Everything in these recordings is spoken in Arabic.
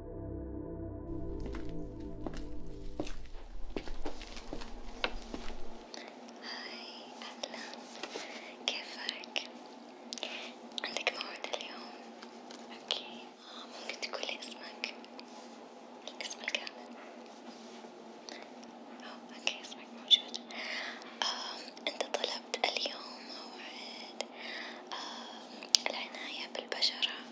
هاي أهلا كيفك؟ عندك موعد اليوم؟ اوكي ممكن تقولي اسمك؟ الاسم الكامل؟ أو اوكي اسمك موجود آه، انت طلبت اليوم موعد آه، العناية بالبشرة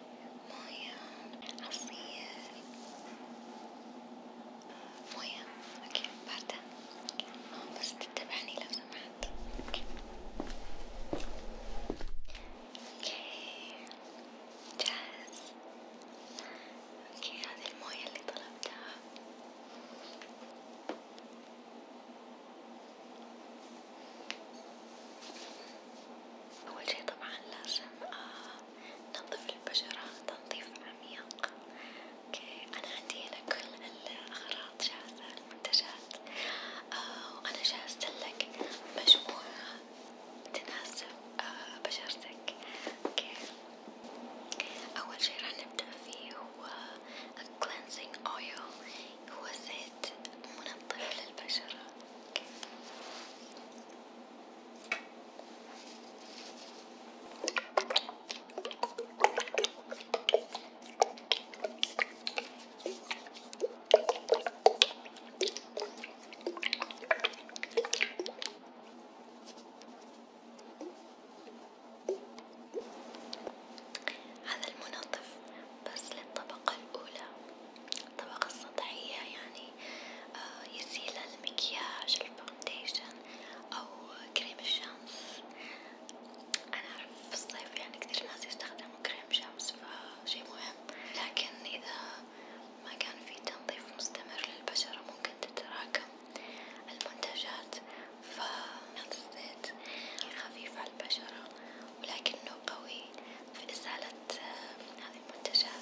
موية عصير موية اوكي باردة بس تتبعني لو سمحت اوكي اوكي جاهز اوكي هذه الموية اللي طلبتها أول شي طبعا لازم ننظف آه، البشرة تنظيف عميق، أوكي أنا عندي هنا كل الأغراض جاهزة المنتجات، آه، وأنا جهزتلك مجموعة تناسب آه، بشرتك، أوكي أول شي راح نبدأ فيه هو الكلينزينج أويل هو زيت زيت منظف للبشرة هذا المنظف بس للطبقة الأولى الطبقة السطحية يعني آه، يزيل المكياج الفاونديشن أو كريم الشمس أنا أعرف في الصيف يعني كتير ناس يستخدموا كريم شمس فشي مهم لكن إذا ما كان في تنظيف مستمر للبشرة ممكن تتراكم المنتجات فالزيت خفيف على البشرة ولكنه قوي في إزالة آه، هذه المنتجات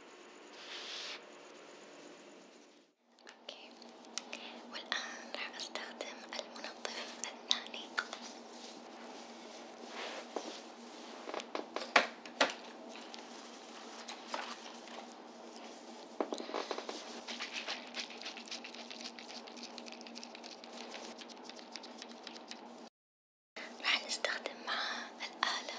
اوكي والآن راح أستخدم المنظف الثاني راح نستخدم معاه الآلة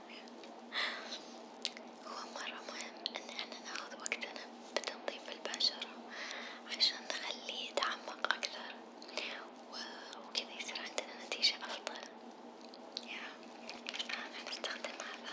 هو مرة مهم إن إحنا ناخد وقتنا بتنظيف البشرة عشان نخليه يتعمق أكثر وكذا يصير عندنا نتيجة أفضل، يا أنا آه، أستخدم هذا.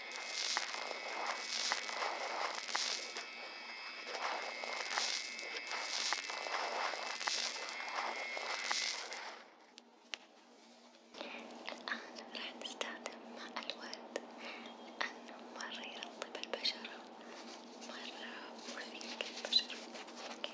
الآن راح نستخدم ماء الورد لأنه مرة يرطب البشرة مرة مفيد للبشرة اوكي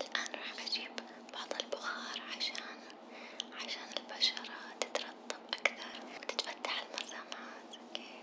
الآن راح أجيب بعض البخار عشان عشان البشرة تترطب أكثر وتتفتح المسامات، أوكي؟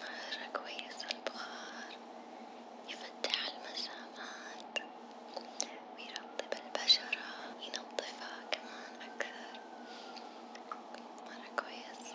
مرة كويس البخار يفتح المسامات ويرطب البشرة ينظفها كمان أكثر مرة كويس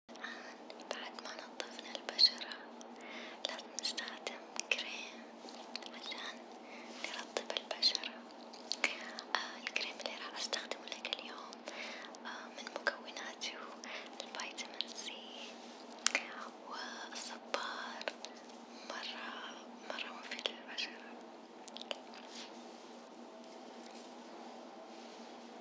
الآن بعد ما نظفنا البشرة لازم نستخدم كريم عشان نرطب البشرة، آه الكريم اللي راح أستخدمه لك اليوم آه من مكوناته الفيتامين سي والصبار مرة مرة مفيد للبشرة.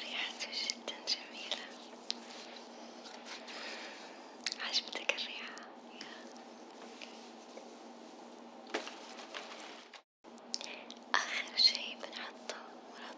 ريحته جدا جميلة عجبتك الريحة آخر شي بنحطه ورا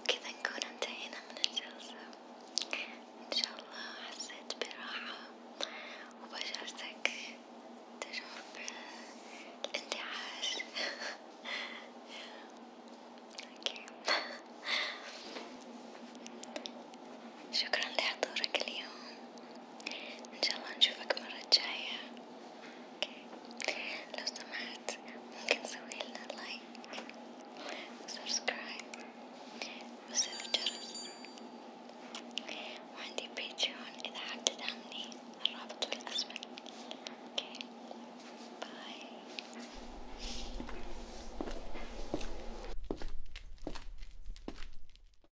وكذا نكون انتهينا من الجلسة إن شاء الله حسيت براحة وبشرتك تشعر بالاندعاج اوكي شكرا لحضورك اليوم إن شاء الله نشوفك مرة جاية أوكي لو سمحت ممكن تسوي لنا لايك وسبسكرايب وزر الجرس وعندي بيتريون إذا حاب تدعمني الرابط في الأسفل أوكي باي